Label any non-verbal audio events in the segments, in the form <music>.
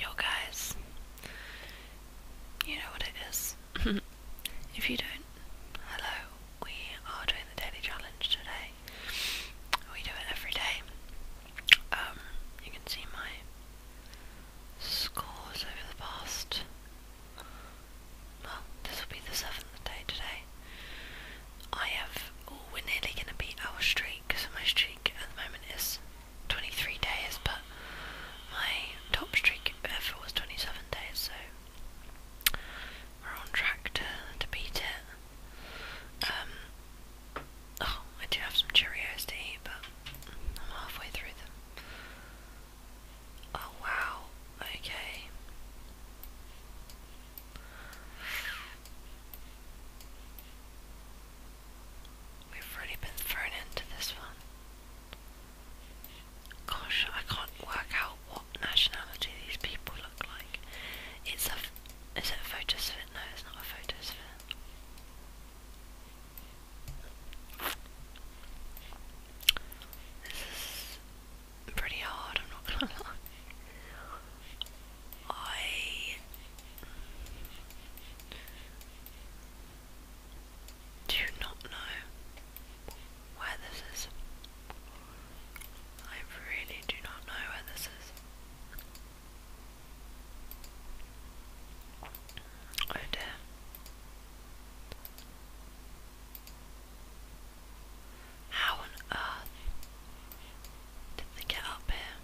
Yo guys, you know what it is. <laughs> if you don't, hello, we are doing the daily challenge today. We do it every day. Um, you can see my scores over the past. Well, this will be the seventh day today. I have. Oh, we're nearly gonna beat our streak. Because my streak at the moment is 23 days, but my top streak ever was 27 days, so we're on track to, to beat it. Um, oh, I do have some Cheerios to eat, but I'm halfway through them. Oh wow, okay. We've already been thrown into this one. Gosh, I can't work out what nationality these people look like. It's a. Is it a photosphere? No, it's not a photosphere. This is pretty hard, I'm not gonna <laughs> lie. I do not know where this is. I really do not know where this is. Oh dear. How on earth did they get up here?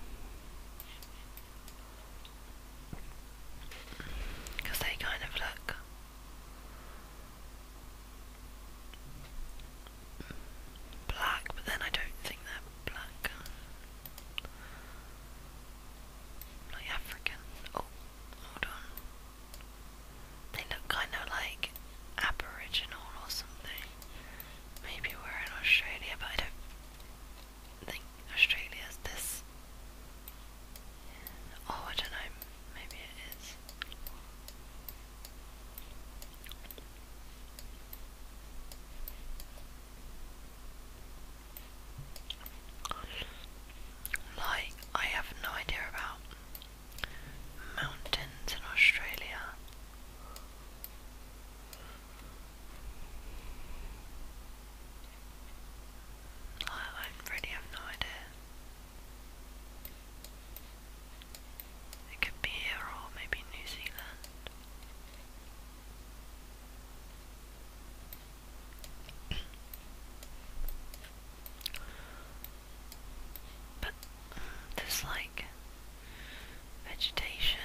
Because they kind of look. Black, but then I don't think they're black. Like African. Oh, hold on. They look kind of like Aboriginal or something. Maybe we're in Australia, but I don't think Australia's this. Oh, I don't know. Maybe it is. Like, I have no idea about mountains in Australia. I really have no idea. It could be here or maybe New Zealand. But mm, there's Vegetation.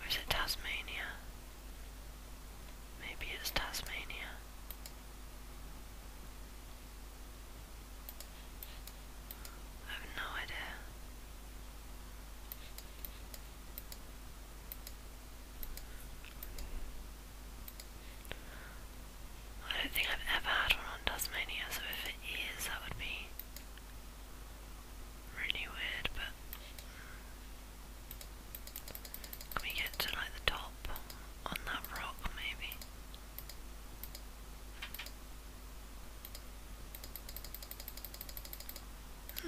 Or it Tasmania? Maybe it's Tasmania. I have no idea. I don't think I've ever had one on Tasmania, so if it is, that would be really weird, but mm. can we get to like the top on that rock maybe?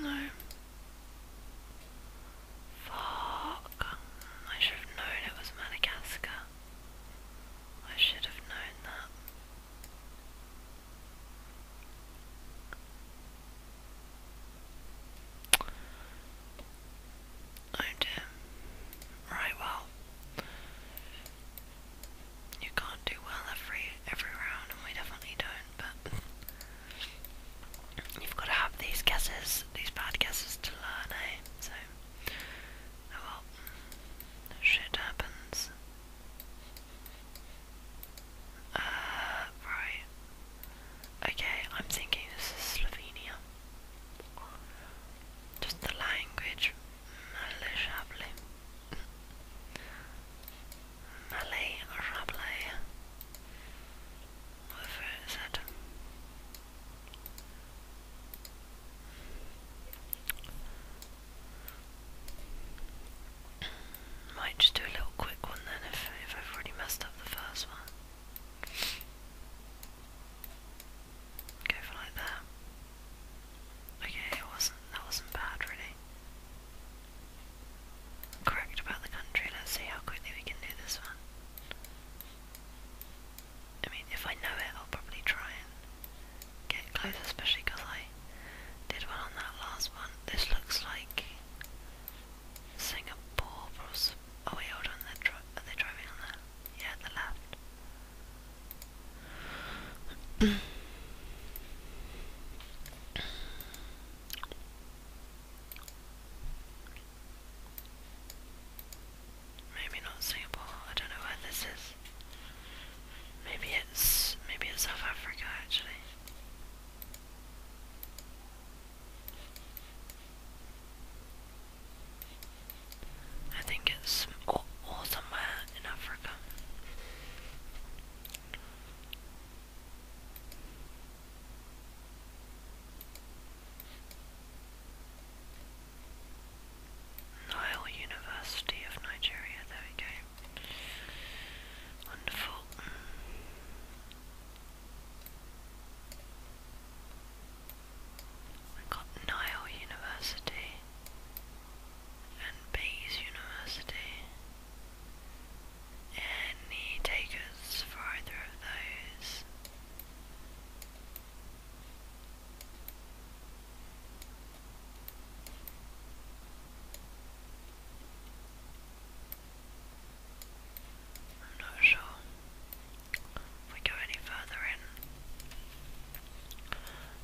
No. Fuck. I should have known it was Madagascar. I should have known that. Oh dear. Right, well. You can't do well every every round and we definitely don't, but you've got to have these guesses, these bad guesses to learn, eh? So Oh, well. Shit happens. Uh, right. Okay, I'm thinking this is Slovenia. Just the language. Malay Malay Shabley. Whatever it is. It. Might just do a little quick one then if, if I've already messed up the first one. Go for like that. Okay, it wasn't that wasn't bad really. Correct about the country, let's see how quickly we can do this one. I mean, if I know it, I'll probably try and get closer, especially because I did one on that last one. This looks like Singapore. Oh we hold on, they're dri are they driving on that? Yeah, the left. Maybe not Singapore. I don't know where this is. Maybe it's maybe it's South Africa actually. I think it's somewhere in Africa. Nile University of Nigeria, there we go. Wonderful. we got Nile University and Bayes University. Any takers for either of those? I'm not sure if we go any further in.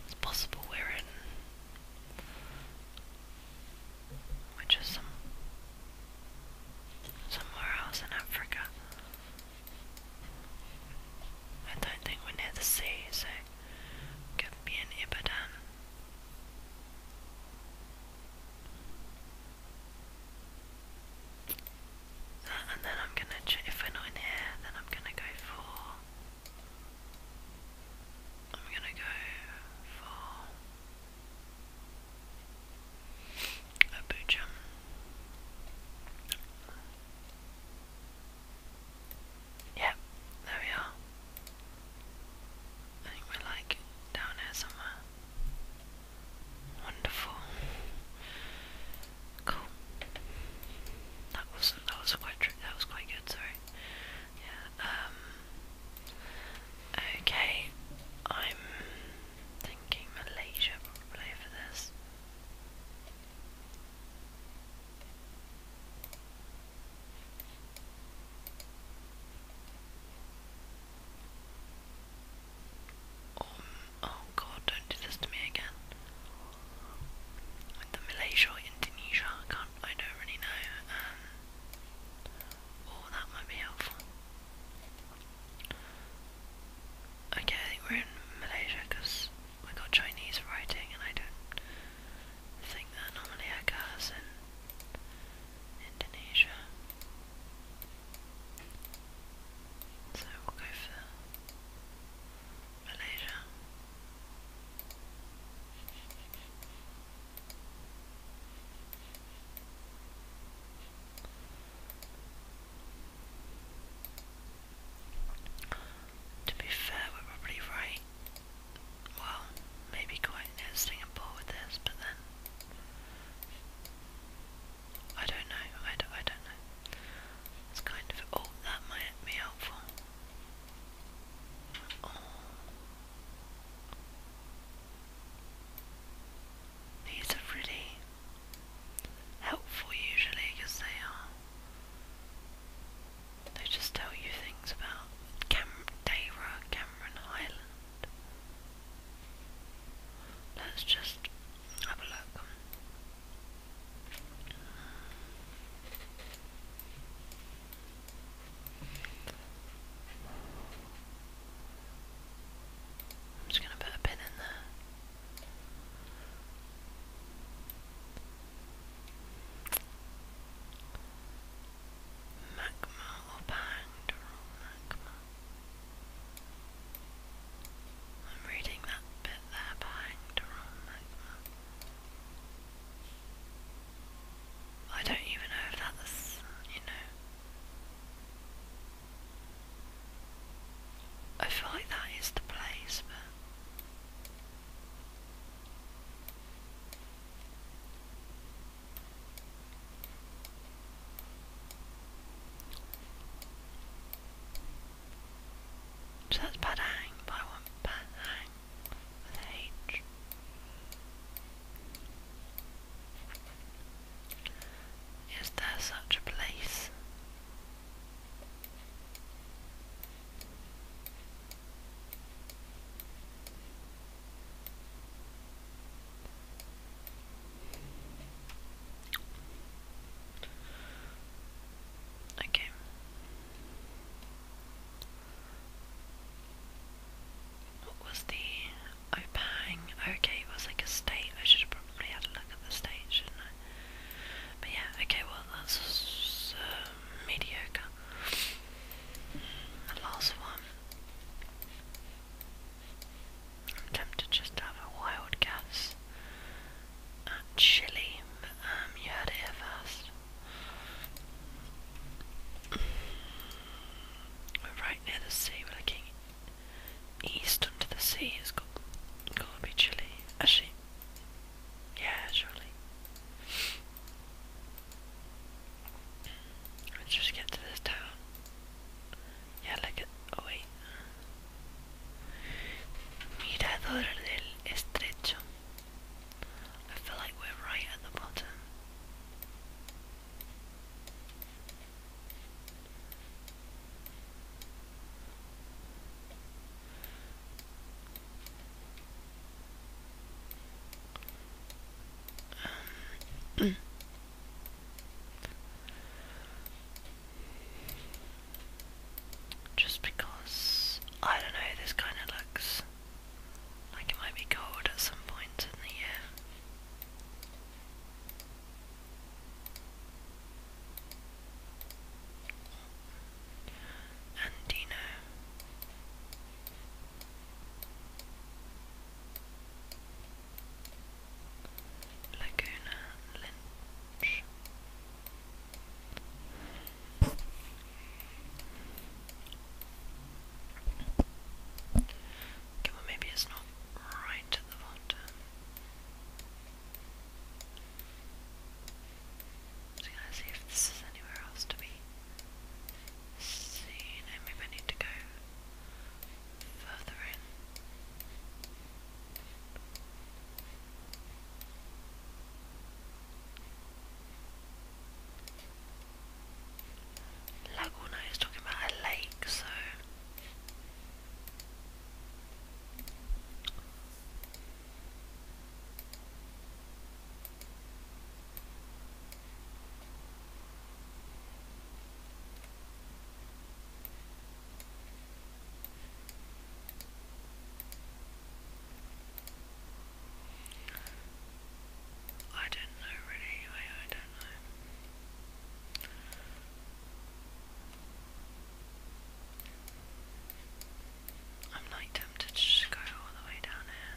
It's possible we're in. Which is somewhere else in Africa. I don't think we're near the sea, so give me an Ibadan. Ah, and then I'm gonna, if we're not in here, then I'm gonna go for. I'm gonna go for Abuja. Yep, there we are. I think we're like down here somewhere. Wonderful. Cool. That was that was quite true. That was quite good. Sorry. Yeah. Um. Okay. I'm thinking Malaysia probably for this. Um, oh god, don't do this to me again. the Malaysia Indonesia, I can't, I don't really know. Um, oh, that might be helpful. Okay, I think we're in Malaysia because I got Chinese writing and I don't think that normally occurs in Indonesia. So we'll go for Malaysia. To be fair, we're probably right. Well, maybe quite near Singapore with this, but then. I don't know, I don't, I don't know. It's kind of. Oh, that might be helpful. These are really helpful usually because they are they just tell you things about Cam Cameron Highland. Let's just have a look. I'm just going to put a pin in there. Magma or Magma. I'm reading that bit there behind Magma. I don't even know if that's, you know. I feel like that is the place, but so that's Padang, but I Padang with H. Is there such a place? Okay. What was the Opang? Okay, it was like a state. I should probably have a look at the state, shouldn't I? But yeah, okay, well, that's uh, mediocre. last one. tempted just to have a wild guess at um, you heard it here first. We're right near the sea, we're looking east onto the sea, it's to be Chile. Actually, yeah, surely. Let's just get to this town. Ya la que... Oh, wait. Mirador del Estrecho. I feel like we're right at the bottom. Um, just because I don't know, this kind of looks like it might be cold at some point in the year. Andino. Laguna Lynch. Okay, well maybe it's not right at the bottom. Just gonna see if this is anywhere else to be seen. And maybe need to go further in. Laguna is talking about a lake, so I don't know really, I, I don't know. I'm like tempted to just go all the way down here,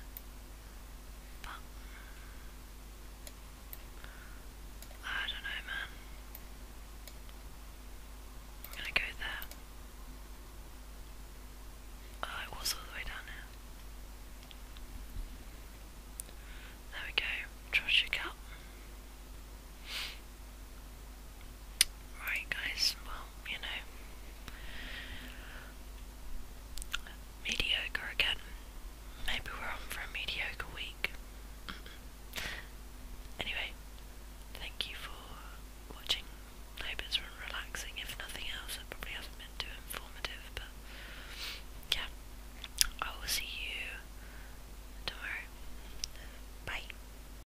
I don't know, man. I'm gonna go there. Oh, was all the way down here. There we go. Treasure cup. Alright guys, well, you know, mediocre again. Maybe we're on for a mediocre week. <clears throat> anyway, thank you for watching. I hope has been relaxing. If nothing else, it probably hasn't been too informative, but yeah. I will see you tomorrow. Bye.